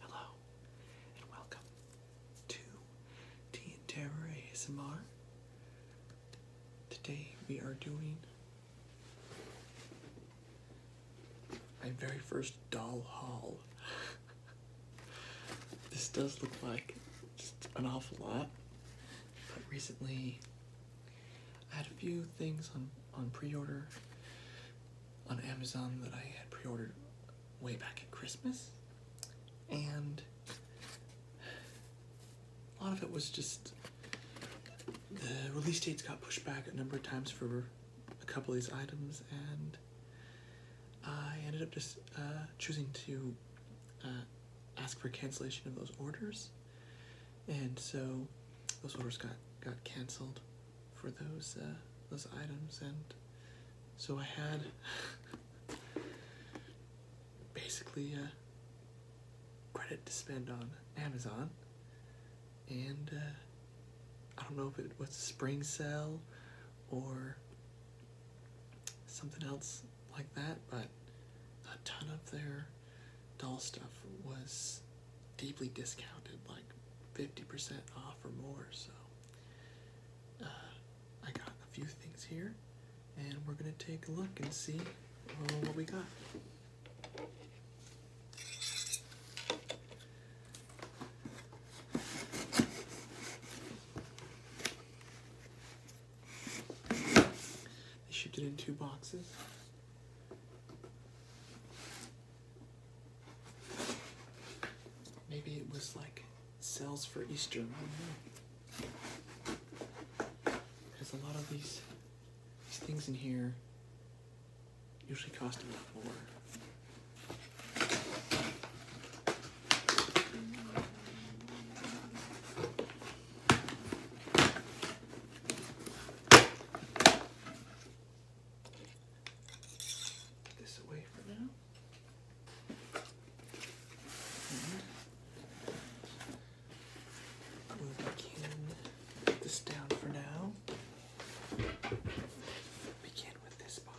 Hello, and welcome to Tea and Terror ASMR. Today we are doing my very first doll haul. this does look like an awful lot. But recently, I had a few things on on pre-order on Amazon that I had pre-ordered way back at Christmas, and a lot of it was just the release dates got pushed back a number of times for a couple of these items, and I ended up just uh, choosing to uh, ask for cancellation of those orders, and so those orders got got canceled for those uh, those items, and so I had basically credit to spend on Amazon, and I don't know if it was a spring sale or something else like that, but a ton of their doll stuff was deeply discounted, like 50% off or more. So uh, I got a few things here, and we're gonna take a look and see uh, what we got. They shipped it in two boxes. Maybe it was like sales for Easter. because a lot of these these things in here Usually cost a lot This away for now. And we put this down for now. Begin with this box.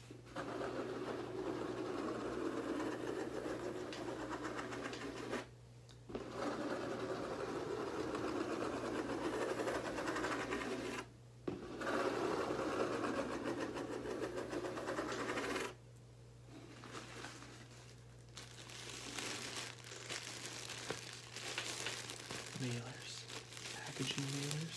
Mailers, packaging mailers.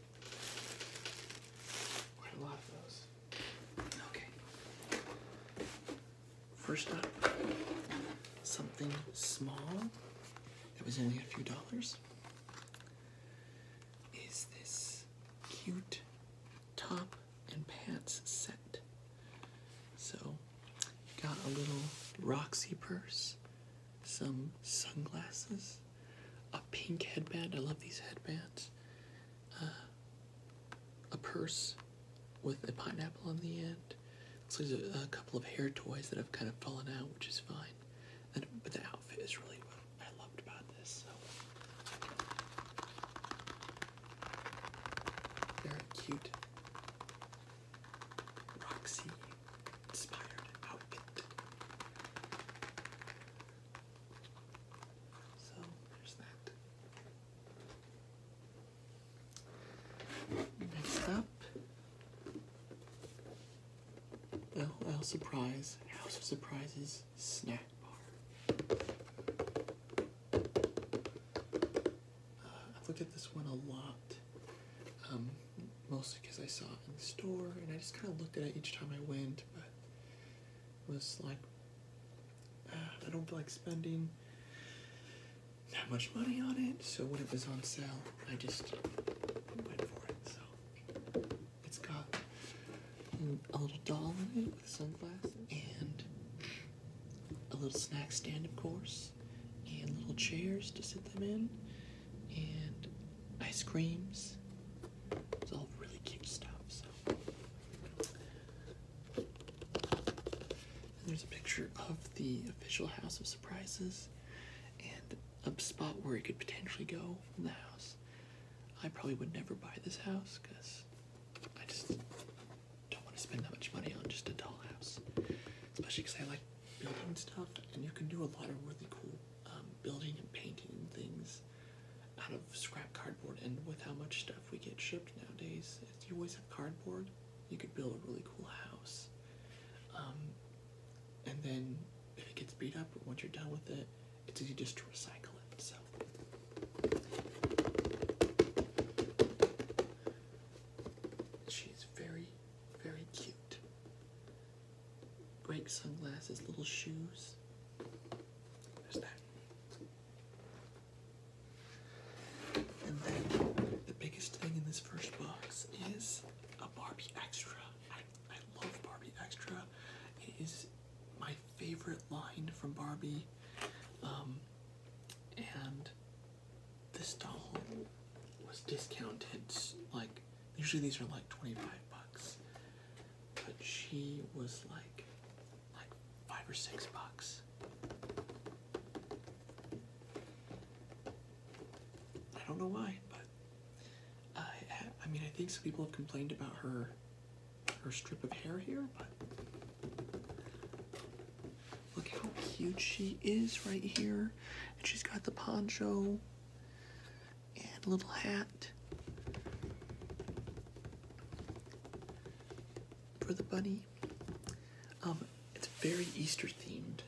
Quite a lot of those. Okay. First up, something small that was only a few dollars is this cute top and pants set. So, got a little Roxy purse, some sunglasses, a pink headband. I love these headbands. Uh, a purse with a pineapple on the end. there's a, couple of hair toys that have kind of fallen out, which is fine. but the outfit is really what I loved about this. So. they cute. Roxy inspired outfit. So there's that. Next up, LL Surprise, House of Surprises Snack Bar. Uh, I've looked at this one a lot. Um, mostly because I saw it in the store, and I just kind of looked at it each time I went but was like, ah, I don't like spending that much money on it. So when it was on sale, I just went for it. So it's got a little doll in it with sunglasses and a little snack stand, of course, and little chairs to sit them in and ice creams. It's all really cute stuff. So there's a picture of the official house of surprises and a spot where it could potentially go in the house. I probably would never buy this house because I just don't want to spend that much money on just a dollhouse. Especially because I like building stuff and you can do a lot of really cool um, building and painting things out of scrap cardboard. And with how much stuff we get shipped nowadays, you always have cardboard, you could build a really cool house. Um, and then if it gets beat up, once you're done with it, it's easy just to recycle it. So. She's very, very cute great sunglasses, little shoes. There's that. And then the biggest thing in this first box is a Barbie Extra. I, love Barbie Extra. It is my favorite line from Barbie. Um, and this doll was discounted like Usually these are like 25 bucks, but she was like like five or six bucks. I don't know why, but I I mean I think some people have complained about her her strip of hair here, but look how cute she is right here. And she's got the poncho and a little hat for the bunny. Um, it's very Easter themed.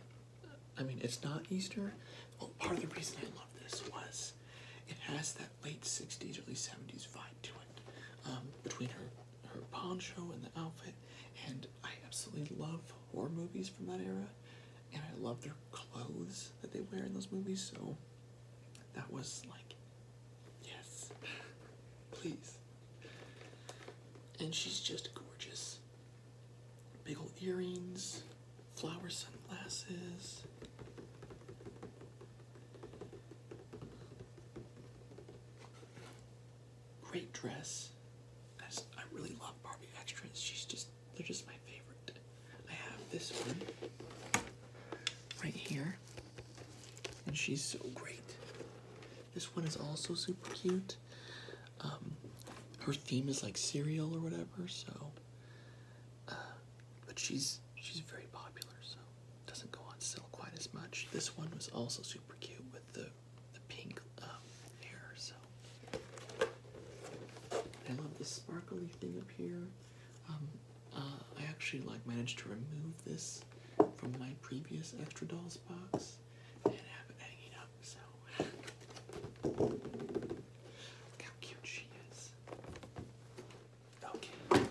I mean, it's not Easter. Well, oh, part of the reason I love this was it has that late 60s, early 70s vibe to it. Um, between her, her poncho and the outfit, and I absolutely love horror movies from that era and I love their clothes that they wear in those movies. So that was like, yes, please. And she's just gorgeous. Big old earrings, flower sunglasses. Great dress. I, really love Barbie Extras. She's just they're just my favorite. I have this one right here, and she's so great. This one is also super cute. Um, her theme is like cereal or whatever, so. Uh, but she's she's very popular, so doesn't go on sale quite as much. This one was also super cute with the the pink um, hair, so I love this sparkly thing up here. Um, uh, I actually like managed to remove this from my previous extra dolls box and have it hanging up. So how cute she is. Okay.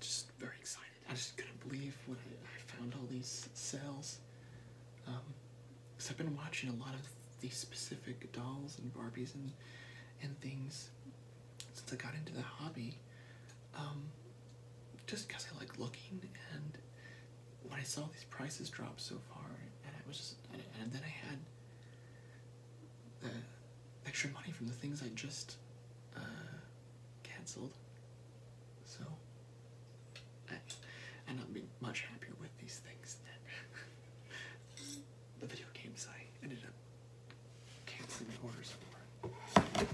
Just very excited. I just couldn't believe when I, found all these cells. because um, I've been watching a lot of these specific dolls and Barbies and and things since I got into the hobby, um, just because I like looking, and when I saw these prices drop so far, and I was and, then I had the extra money from the things I just uh, canceled, so I, am not much happier with these things than the video games I ended up can't see the order somewhere. Okay.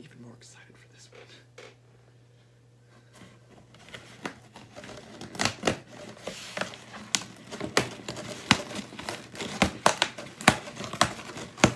Even more excited for this one.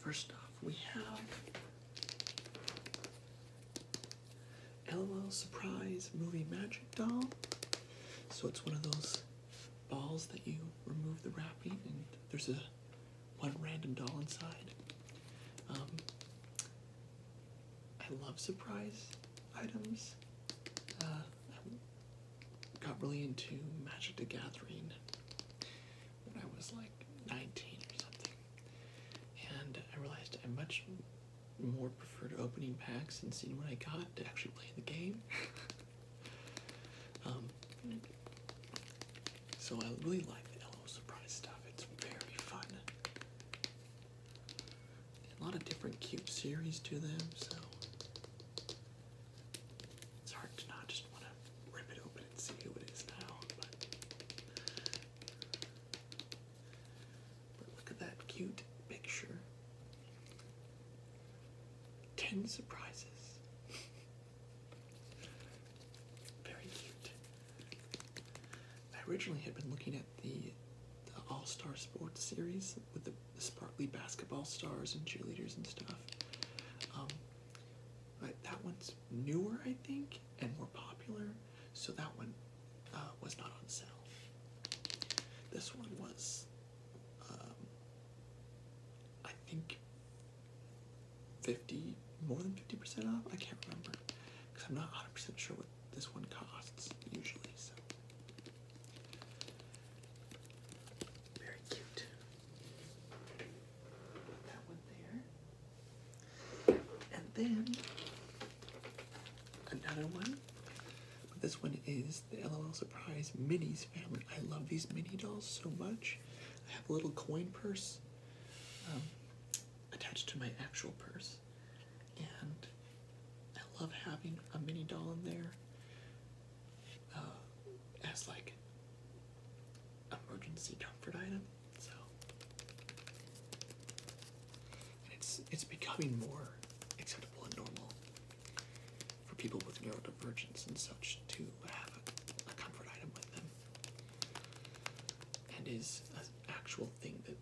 First off, we have LOL Surprise Movie Magic Doll. So it's one of those balls that you remove the wrapping and there's a one random doll inside. Um, I love surprise items. Uh, got really into Magic the Gathering when I was like 19 or something. And I realized I much more preferred opening packs and seeing what I got to actually play the game. Um, so I really like the LO Surprise stuff. It's very fun. a lot of different cute series to them, so it's hard to not just want to rip it open and see who it is now, but. look at that cute picture. Ten surprises. Very cute. I originally had been looking at the All Star Sports series with the sparkly basketball stars and cheerleaders and stuff. Um, that one's newer, I think, and more popular, so that one uh, was not on sale. This one was, um, I think, 50, more than 50% off? I can't remember, because I'm not 100% sure what this one costs usually, so. Very cute. That one there. And then another one. This one is the LOL Surprise Minis family. I love these mini dolls so much. I have a little coin purse um, attached to my actual purse. And I love having a mini doll in there. Uh, as like emergency comfort item. So it's it's becoming more acceptable and normal for people with neurodivergence and such to have a, a comfort item with them, and is an actual thing that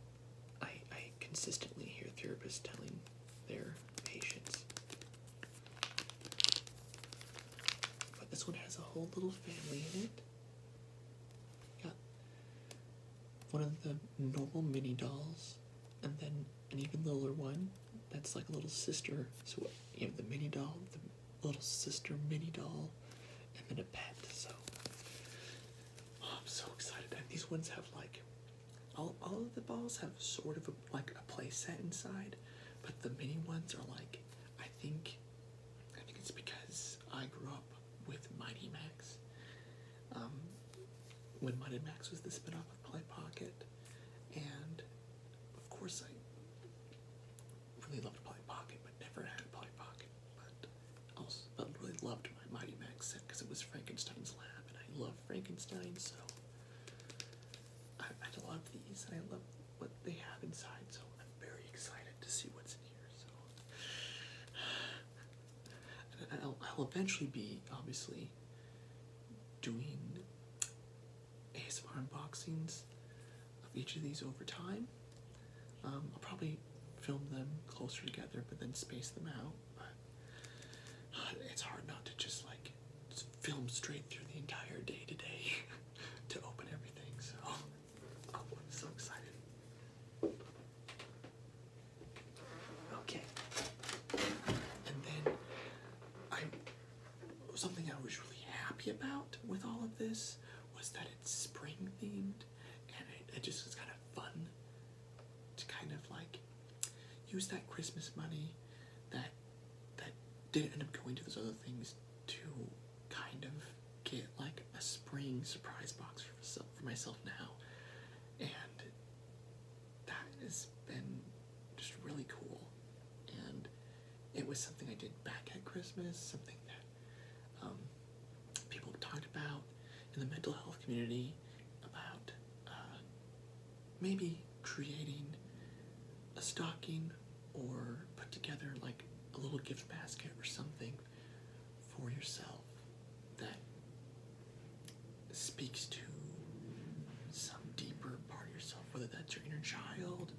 I I consistently hear therapists telling their patients but this one has a whole little family in it. Got one of the normal mini dolls, and then an even littler one that's like a little sister. So you have the mini doll, the little sister mini doll, and then a pet. So oh, I'm so excited. And these ones have like all, all of the balls have sort of like a play set inside, but the mini ones are like, I think, I think it's because I grew up with Mighty Max. Um, when Mighty Max was the spin-off of Play Pocket, and of course I really loved Play Pocket, but never had a Play Pocket. But also, but really loved my Mighty Max set because it was Frankenstein's Lab, and I love Frankenstein so. I, love these I love what they have inside, so I'm very excited to see what's in here. So, I'll, eventually be obviously doing ASMR unboxings of each of these over time. Um, I'll probably film them closer together, but then space them out. It's hard not to just like film straight through the entire day today to open everything. So I'm so excited. Okay, and then I something I was really happy about with all of this was that it's spring themed, and it, it just is kind of fun to kind of like use that Christmas money that that didn't end up going to those other things to kind of get like a spring surprise box for myself, now. And that has been just really cool. And it was something I did back at Christmas, something that um, people talked about in the mental health community about uh, maybe creating a stocking or put together like a little gift basket or something for yourself that speaks to some deeper part of yourself, whether that's your inner child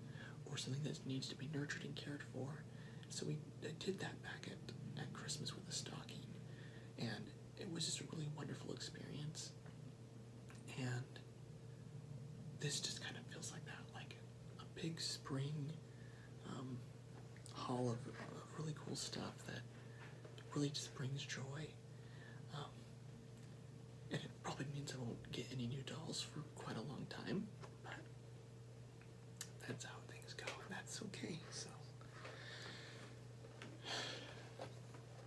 or something that needs to be nurtured and cared for. So we did that back at, at Christmas with a stocking, and it was just a really wonderful experience. And this just kind of feels like that, like a big spring um, haul of, really cool stuff that really just brings joy. Um, and it probably means I won't get any new dolls for quite a long time, but that's how things go, and that's okay. So,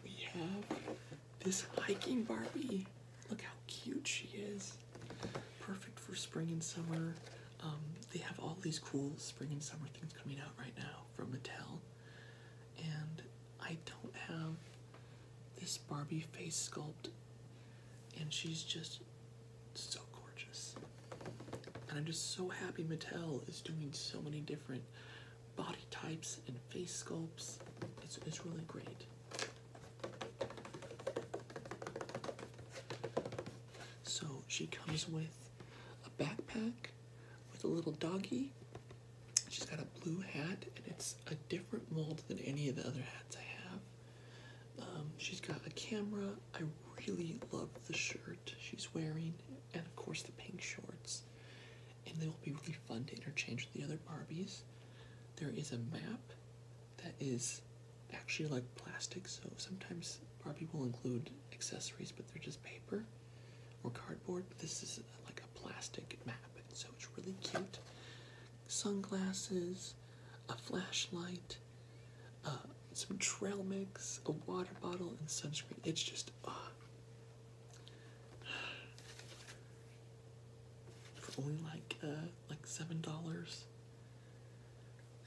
we have this hiking Barbie. Look how cute she is. Perfect for spring and summer. Um, they have all these cool spring and summer things coming out right now from Mattel. And I don't have this Barbie face sculpt, and she's just so gorgeous. And I'm just so happy Mattel is doing so many different body types and face sculpts. It's, really great. So she comes with a backpack with a little doggy. She's got a blue hat, and it's a different mold than any of the other hats I have. Um, she's got a camera. I really love the shirt she's wearing, and of course the pink shorts and they will be really fun to interchange with the other Barbies. There is a map that is actually like plastic, so sometimes Barbie will include accessories, but they're just paper or cardboard. this is like a plastic map, so it's really cute. Sunglasses, a flashlight, uh, some trail mix, a water bottle, and sunscreen. It's just, uh, for only like uh, like seven dollars.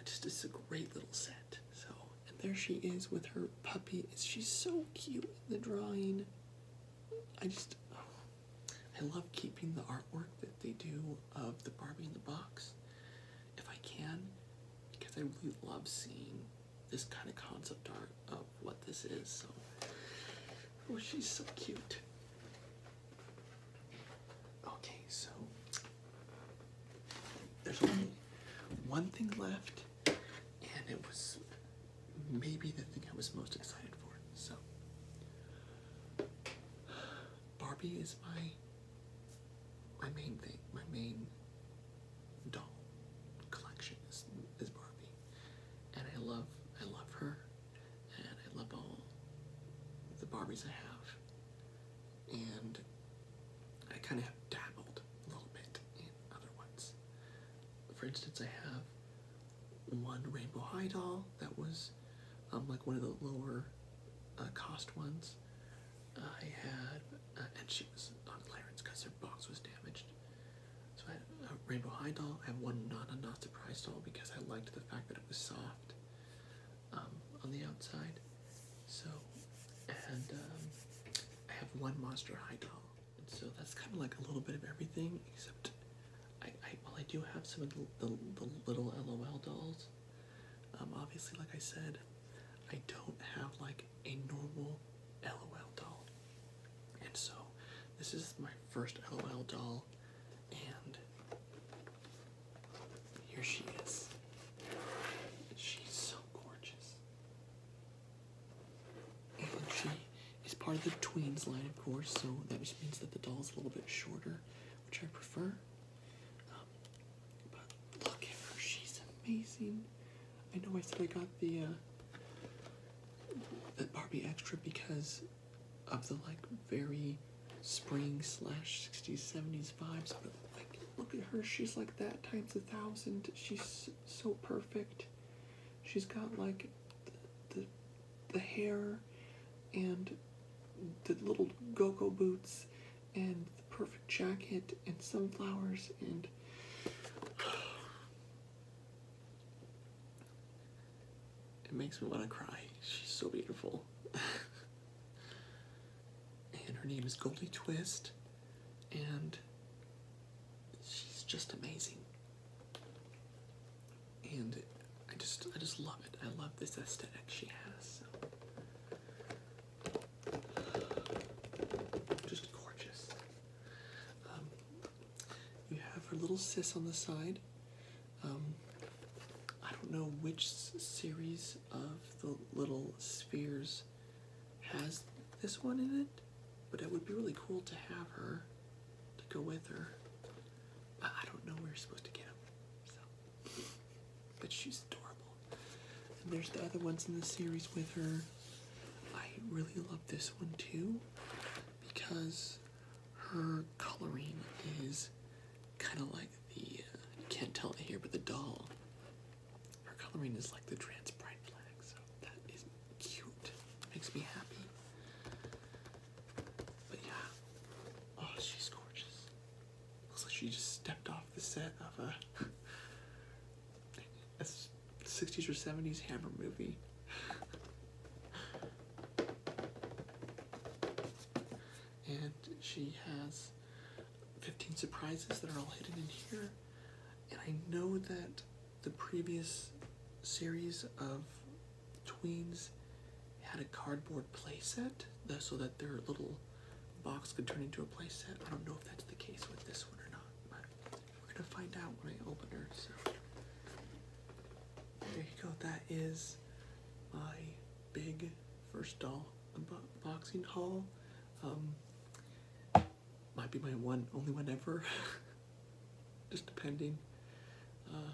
Just it's a great little set. So and there she is with her puppy. She's so cute in the drawing. I just oh, I love keeping the artwork that they do of the Barbie in the box if I can because I really love seeing this kind of concept art of what this is. So, oh, she's so cute. Okay, so there's only one thing left, and it was maybe the thing I was most excited for. So, Barbie is my my main thing, my main doll collection is Barbie, and I love I love her, and I love all the Barbies I have, and I kind of have dabbled a little bit in other ones. For instance, I have one Rainbow High doll that was um, like one of the lower uh, cost ones. I had uh, and she was on clearance because her box was damaged. So I had a Rainbow High doll. I had one not a Not Surprise doll because I liked the fact that it was soft um, on the outside. So, and um, I have one Monster High doll. so that's kind of like a little bit of everything, except I, I well, I do have some of the, the, little LOL dolls. Um, obviously, like I said, I don't have like a normal LOL doll. And so this is my first LOL doll and here she is. She's so gorgeous. And she is part of the tweens line, of course, so that just means that the doll's a little bit shorter, which I prefer. Um, but look at her, she's amazing. I know I said I got the uh, the Barbie extra because of the like very spring slash 60s 70s vibes, but like look at her, she's like that times a thousand. She's so perfect. She's got like the the, hair and the little gogo boots and the perfect jacket and sunflowers and it makes me want to cry. She's so beautiful. and her name is Goldie Twist and she's just amazing. And I just I just love it. I love this aesthetic she has. Just gorgeous. Um, you have her little sis on the side. Um, I don't know which series of the little spheres has this one in it, but it would be really cool to have her to go with her. I, I don't know where you're supposed to get them, but she's adorable. And there's the other ones in the series with her. I really love this one too because her coloring is kind of like the, uh, you can't tell it here, but the doll. Her coloring is like the trans bright flag, so that is cute. Makes me happy. But yeah, oh, she's gorgeous. Looks like she just stepped off the set of a a 60s or 70s Hammer movie. and she has 15 surprises that are all hidden in here. And I know that the previous series of tweens had a cardboard playset so that their little box could turn into a playset. I don't know if that's the case with this one or not we're gonna find out when I open her. So there you go. That is my big first doll unboxing haul. Um, might be my one, only one ever. Just depending. Uh,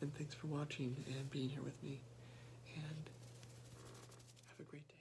and thanks for watching and being here with me. And have a great day.